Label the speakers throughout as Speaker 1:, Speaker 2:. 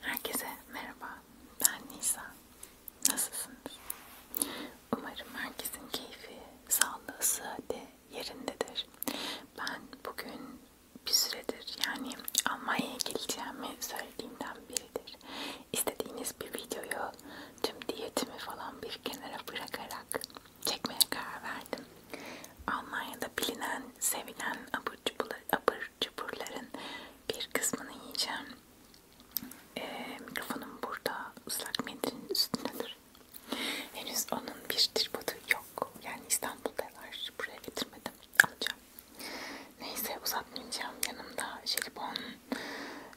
Speaker 1: Herkese merhaba, ben Nisa. Nasılsınız? Umarım herkesin keyfi, sağlığı, sıhhati yerindedir. Ben bugün bir süredir yani Almanya'ya geleceğimi söylediğimden biridir. İstediğiniz bir videoyu tüm diyetimi falan bir kenara bırakarak çekmeye karar verdim. Almanya'da bilinen, sevilen abur cuburlar, abur abur cuburların bir kısmını yiyeceğim. Ee, mikrofonum burada ıslak mendilin üstündedir. Henüz onun bir tripodu yok. Yani İstanbul'da var. Buraya getirmedim. Alacağım. Neyse uzatmayacağım. Yanımda jelibon,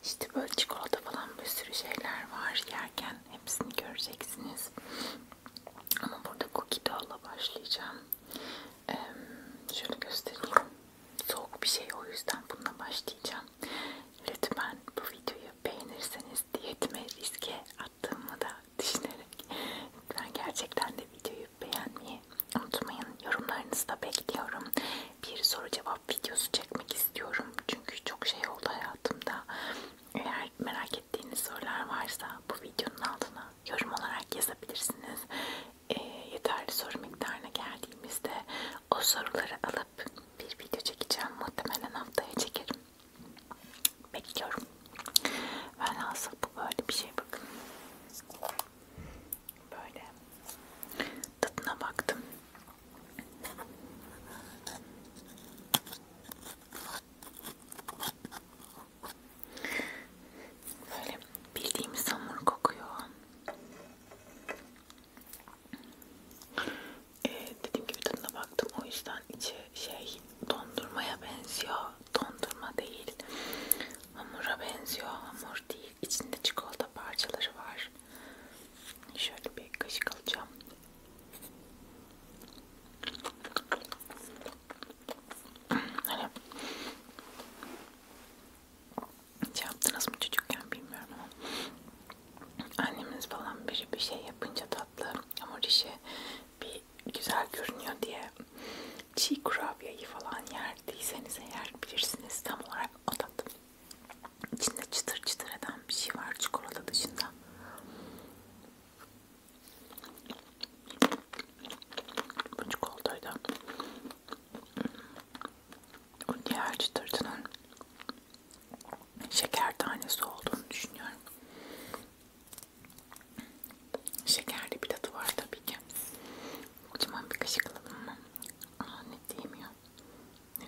Speaker 1: işte böyle çikolata falan bir sürü şeyler var. Yerken hepsini göreceksiniz. Ama burada cookie doll'la başlayacağım. Ee, şöyle göstereyim. Soğuk bir şey o yüzden bununla başlayacağım. Lütfen bu videoyu beğenirseniz diyetime riske attığımı da düşünerek lütfen gerçekten de videoyu beğenmeyi unutmayın. Yorumlarınızı da bekliyorum. Bir soru cevap videosu çekmek istiyorum. Çünkü çok şey oldu hayatımda. Eğer merak ettiğiniz sorular varsa bu videonun altına yorum olarak yazabilirsiniz. E, yeterli soru miktarına geldiğimizde o soruları alıp bir video çekeceğim. Muhtemelen haftaya çekerim. Bekliyorum. Velhasıl bu böyle bir şey bakın. Böyle tadına baktım. Böyle bildiğimiz hamur kokuyor. Ee, dediğim gibi tadına baktım o yüzden içi şey dondurmaya benziyor. Dondurma değil. Hamura benziyor. Hamur değil. İçinde çikolata parçaları var. Şöyle bir kaşık alacağım. Hani hiç şey yaptınız mı çocukken bilmiyorum ama annemiz falan biri bir şey yapınca tatlı hamur işi bir güzel görünüyor diye çiğ kurabiyeyi falan yerdiyseniz eğer bilirsiniz tam olarak o tadı. İçinde çıtır çıtır eden bir şey var çikolata dışında. Bu çikolataydı. O hmm, diğer çıtırtının şeker tanesi olduğunu düşünüyorum. Şekerli bir tadı var tabii ki. Kocaman bir kaşık alalım mı? Aa, ne diyeyim ya. Ne?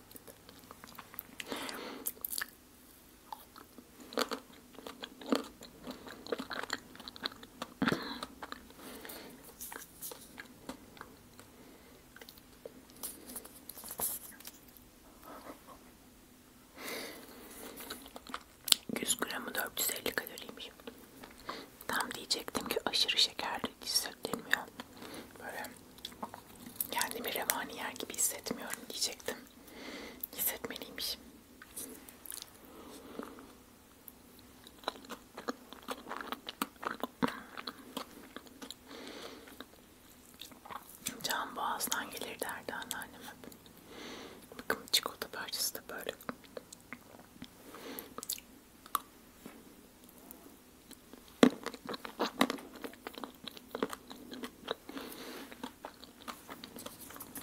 Speaker 1: 100 gramı 450 kaloriymiş. Tam diyecektim ki aşırı şekerli hissettirmiyor. Böyle kendimi revani yer gibi hissetmiyorum diyecektim. Hissetmeliymişim. Can boğazdan gelir derdi anneannem hep. Bakın çikolata parçası da böyle.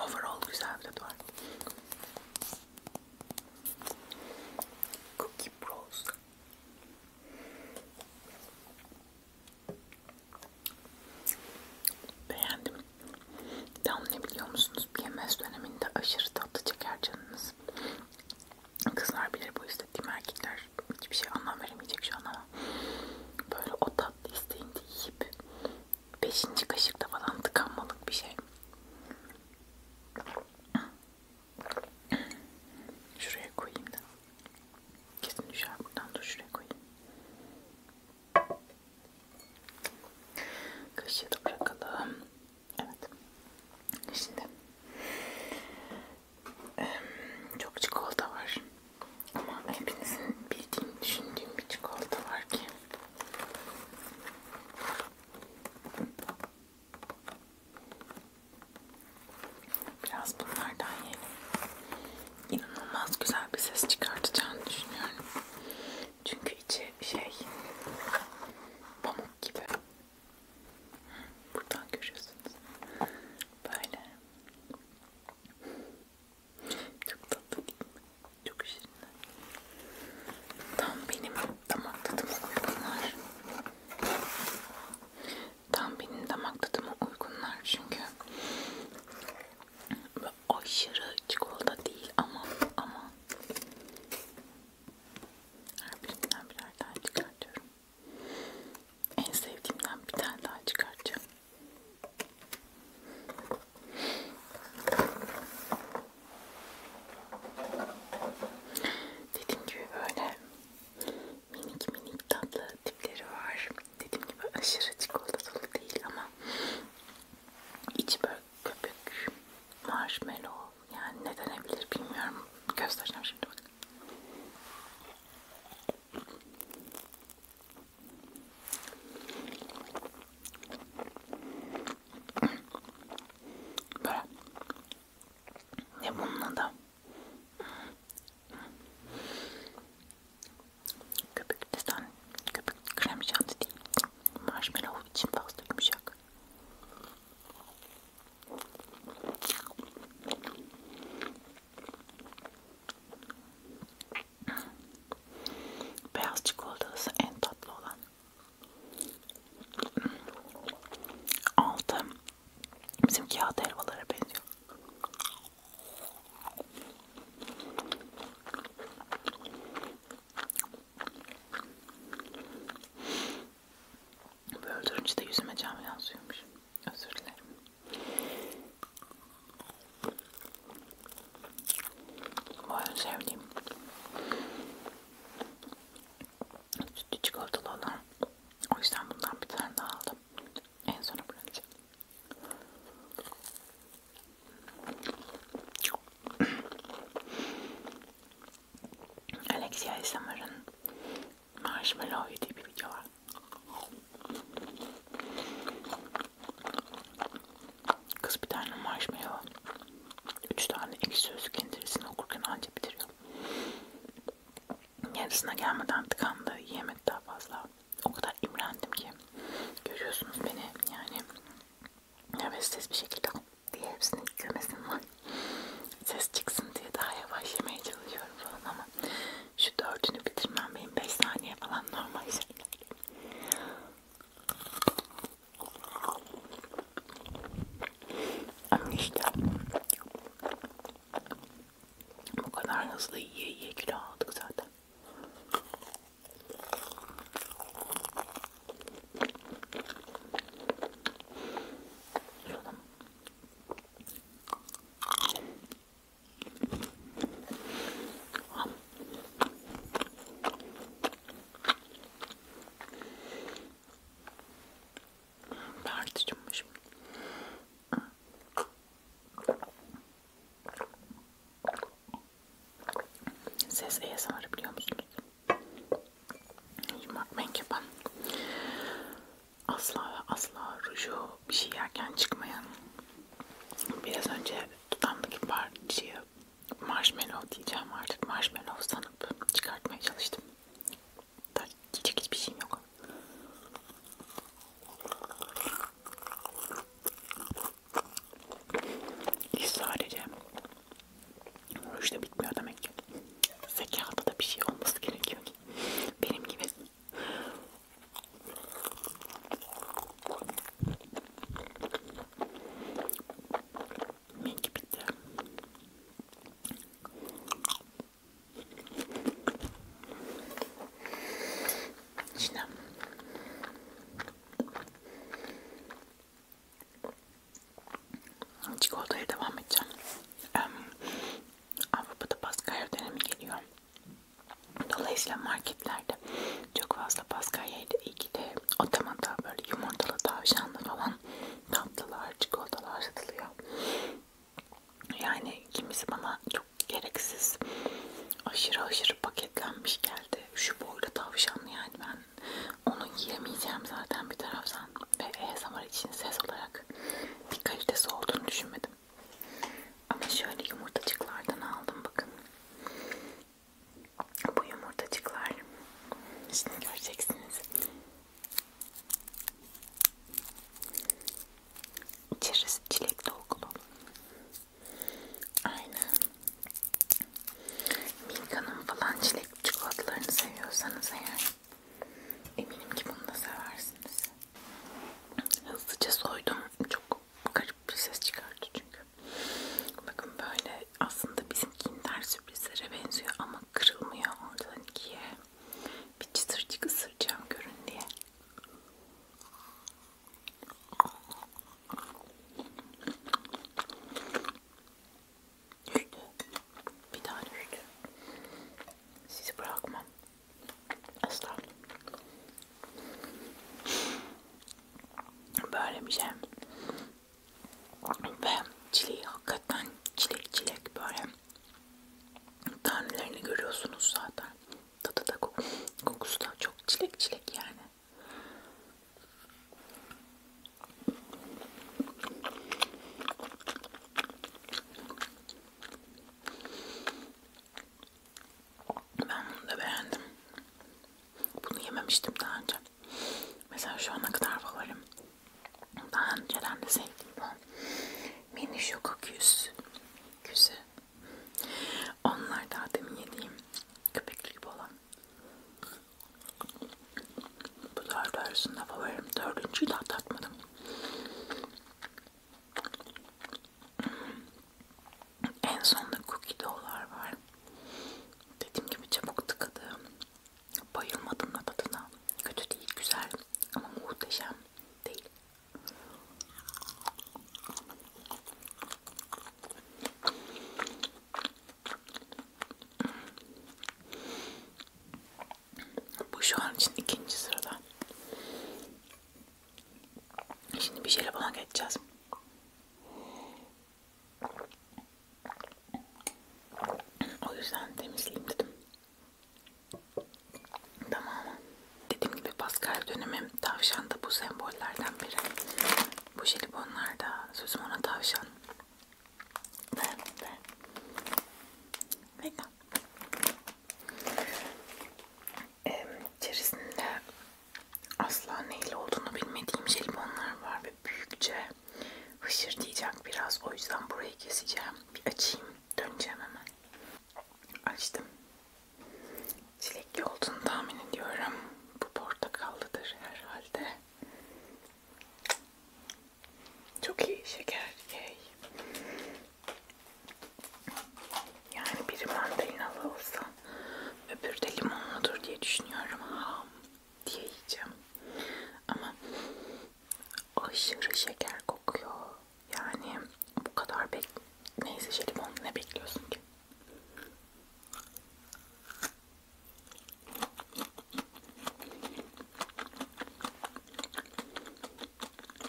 Speaker 1: Overall güzel bir tadı var. Cookie Bros. Beğendim. Tam ne biliyor musunuz? PMS döneminde aşırı tatlı çeker canınız. Kızlar bilir bu istediğim erkekler hiçbir şey anlam veremeyecek şu an ama böyle o tatlı isteğinde yiyip beşinci kaşıkta falan tıkanmalık bir şey. Şuraya koyayım da. Kesin düşer buradan da şuraya koyayım. Kaşığı da bırakalım. Evet. Şimdi çok çikolata var. Ama hepinizin bildiğini düşündüğüm bir çikolata var ki. Biraz bunlardan yiyelim. İnanılmaz güzel bir ses çıkartacağını düşünüyorum. Çünkü içi şey pamuk gibi. Buradan görüyorsunuz. Böyle. Çok tatlı değil mi? Çok şirinler. Tam benim damak tadıma uygunlar. Tam benim damak tadıma uygunlar çünkü aşırı çikolata değil ama ama her birinden birer tane çıkartıyorum. En sevdiğimden bir tane daha çıkartacağım. Dediğim gibi böyle minik minik tatlı tipleri var. Dediğim gibi aşırı çikolatalı değil ama içi böyle köpük, marshmallow yani ne denebilir bilmiyorum. Göstereceğim şimdi bakın. Böyle. Ne bunun adı? Köpük desen, köpük krem şanti değil. Marshmallow için fazla yumuşak. Beyaz çikolatası en tatlı olan. 6. Bizim kağıt helvalara benziyor. Böldürünce de yüzüme cam yansıyormuş. Özür dilerim. Bu en sevdiğim. Sütlü çikolatalı olan. O yüzden bundan bir tane daha aldım. En sona bırakacağım. Alexia ASMR'ın Marshmallow yediği bir video var. Kız bir tane marshmallow, üç tane ekşi sözlük indirisini okurken anca bitiriyor. Yarısına gelmeden tıkandı, yiyemedi daha fazla. O kadar imrendim ki. Görüyorsunuz beni yani nefessiz bir şekilde diye hepsini gömesim var. Ses çıksın diye daha yavaş yemeye çalışıyorum falan ama şu dördünü bitirmem benim 5 saniye falan normal şey. İşte bu kadar hızlı yiye yiye kilo aldık zaten. Tartışmışım. Ses ASMR biliyor musunuz? Yumak menkeban. Asla ve asla ruju bir şey yerken çıkmayan biraz önce dudamdaki parçayı marshmallow diyeceğim artık marshmallow sanıp çıkartmaya çalıştım. Daha diyecek hiçbir şeyim yok. İş sadece bu işte bitmiyor demek ki. Zekada da bir şey olması gerekiyor ki. Benim gibi Minki bitti. Şimdi çikolataya devam edeceğim. Avrupa'da Paskalya dönemi geliyor. Dolayısıyla marketlerde çok fazla Paskaya'yla ilgili otomata böyle yumurtalı tavşanlı falan tatlılar, çikolatalar satılıyor. Yani kimisi bana çok gereksiz aşırı aşırı paketlenmiş geldi. Şu boylu tavşanlı yani ben onu yiyemeyeceğim zaten bir taraftan ve ASMR için ses olarak bir kalitesi olduğunu düşünmedim. Ama şöyle yumurtacıklardan aldım bakın. Bu yumurtacıklar. Şimdi göreceksiniz. İçerisi çilek dolgulu. Aynen. Milka'nın falan çilek çikolatalarını seviyorsanız eğer eminim ki bunu da seversiniz. Hızlıca soydum. Çok garip bir ses çıkardı çünkü. Bakın böyle aslında bizim kinder sürprizlere benziyor ama kırılmıyor oradan ikiye. Bir çıtırcık ısıracağım görün diye. Düştü. Bir daha düştü. Sizi bırakmam. Asla. Böyle bir şey. Ve çileği hakikaten çilek çilek böyle. Tanelerini görüyorsunuz zaten. Tadı da kok kokusu da çok çilek çilek yani. Ben bunu da beğendim. Bunu yememiştim daha önce. Mesela şu ana kadar favorim. Daha önceden de sevdim ben. Mini Şoko Küs. Küsü. Onlar daha demin yediğim köpekli gibi olan. Bu dört arasında favorim. Dördüncüyü daha tatmadım. En sonda cookie dolar var. Dediğim gibi çabuk tıkadı. Bayılmadım da tadına. Kötü değil, güzel ama muhteşem değil. Bu şu an için ikinci sırada. Şimdi bir şeyle bana geçeceğiz. O yüzden temizleyeyim dedim. Tamam. Dediğim gibi Pascal dönemi tavşan da bu sembollerden biri. Bu jelibonlar da sözüm ona tavşan. Ve, ve. Vegan. Ee, içerisinde asla neyle olduğunu bilmediğim jelibonlar var ve büyükçe hışır diyecek biraz. O yüzden burayı keseceğim. Bir açayım. Döneceğim hemen. Açtım. Çilekli olduğunu tahmin ediyorum. Bu portakallıdır herhalde. Çok iyi şeker. Yay. Yani biri mandalinalı olsa öbürü de limonludur diye düşünüyorum. Ham diye yiyeceğim. Ama aşırı şeker kokuyor. Yani bu kadar bek neyse jelibon ne bekliyorsun ki?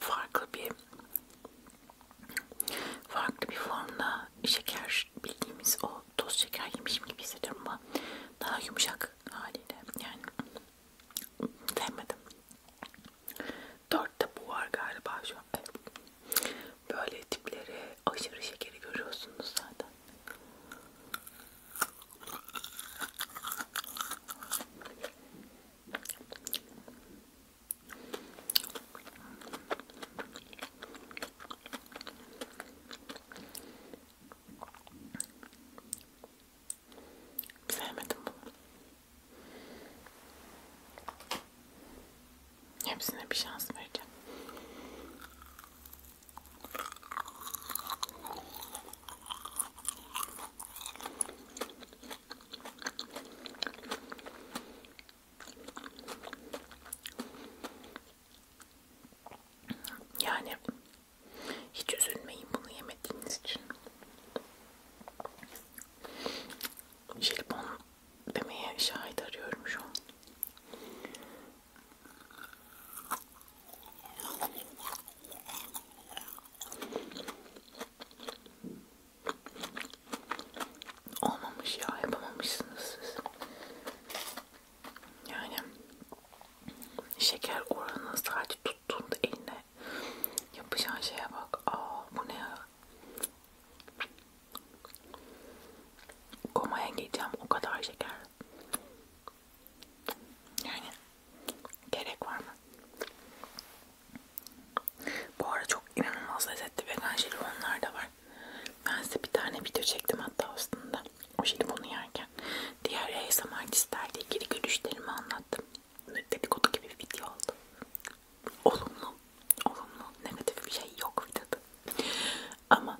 Speaker 1: farklı bir farklı bir formda şeker bildiğimiz o toz şeker yemişim gibi hissediyorum ama daha yumuşak haliyle yani sevmedim. Dörtte bu var galiba şu an. Evet. Böyle tipleri aşırı şekeri görüyorsunuz zaten. Sevmedim bunu. Hepsine bir şans vereceğim. Yani hiç üzülmeyin bunu yemediğiniz için. Jelibon demeye şahit arıyorum şu an. Olmamış ya yapamamışsınız siz. Yani şeker oranı sadece tuttuğunda eline yapacağın şeye bak. Aa bu ne ya? Komaya gideceğim o kadar şeker. Yani gerek var mı? Bu ara çok inanılmaz lezzetli vegan jelibonlar da var. Ben size bir tane video çektim hatta aslında. O jelibonu yerken. Diğer ASMR listelerde ilgili görüşlerimi anlattım. Dedikodu gibi bir video oldu. Olumlu, olumlu, negatif bir şey yok videoda. Ama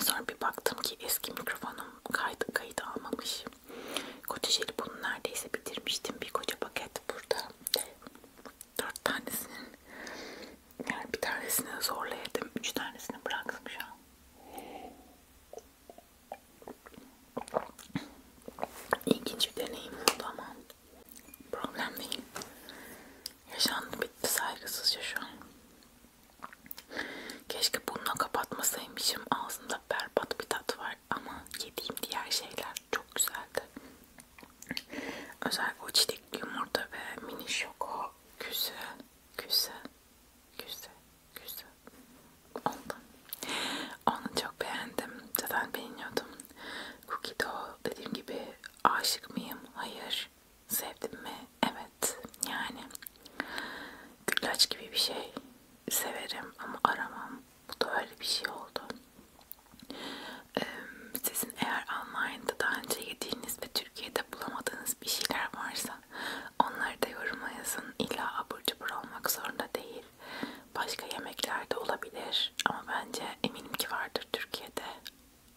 Speaker 1: sonra bir baktım ki eski mikrofonum kaydı, kayıt almamış. Koca jeli bunu neredeyse bitirmiştim. Bir koca paket burada. Dört tanesinin yani bir tanesini zorla yedim. Üç tanesini bıraktım şu an. İlginç bir deneyim oldu ama problem değil. Yaşandı bitti saygısızca şu an. Keşke bununla kapatmasaymışım. Ağzımda ağzımda berbat bir tat var ama yediğim diğer şeyler çok güzeldi. Özellikle o çiçek yumurta ve mini şoko güzel, güzel, güzel, güzel oldu. Onu çok beğendim. Zaten beğeniyordum. Cookie Dough dediğim gibi aşık mıyım? Hayır. Sevdim mi? Evet. Yani güllaç gibi bir şey severim ama aramam. Bu da öyle bir şey oldu. Ee, sizin eğer Almanya'da daha önce yediğiniz ve Türkiye'de bulamadığınız bir şeyler varsa onları da yoruma yazın. İlla abur cubur olmak zorunda değil. Başka yemekler de olabilir ama bence eminim ki vardır Türkiye'de.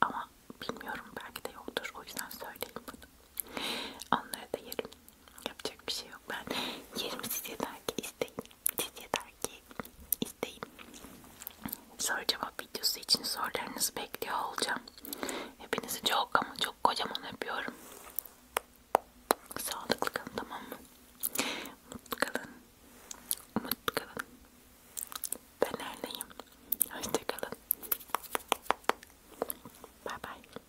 Speaker 1: Ama bilmiyorum belki de yoktur. O yüzden söyleyeyim bunu. Onları da yerim. Yapacak bir şey yok. Ben yerim siz yeter ki isteyin. Siz yeter ki isteyin. Soru cevap videosu için sorularınızı bekliyor olacağım. Hepinizi çok ama çok kocaman öpüyorum. Sağlıklı kalın tamam mı? Mutlu kalın. Mutlu kalın. Ben neredeyim? Hoşçakalın. Bye bye.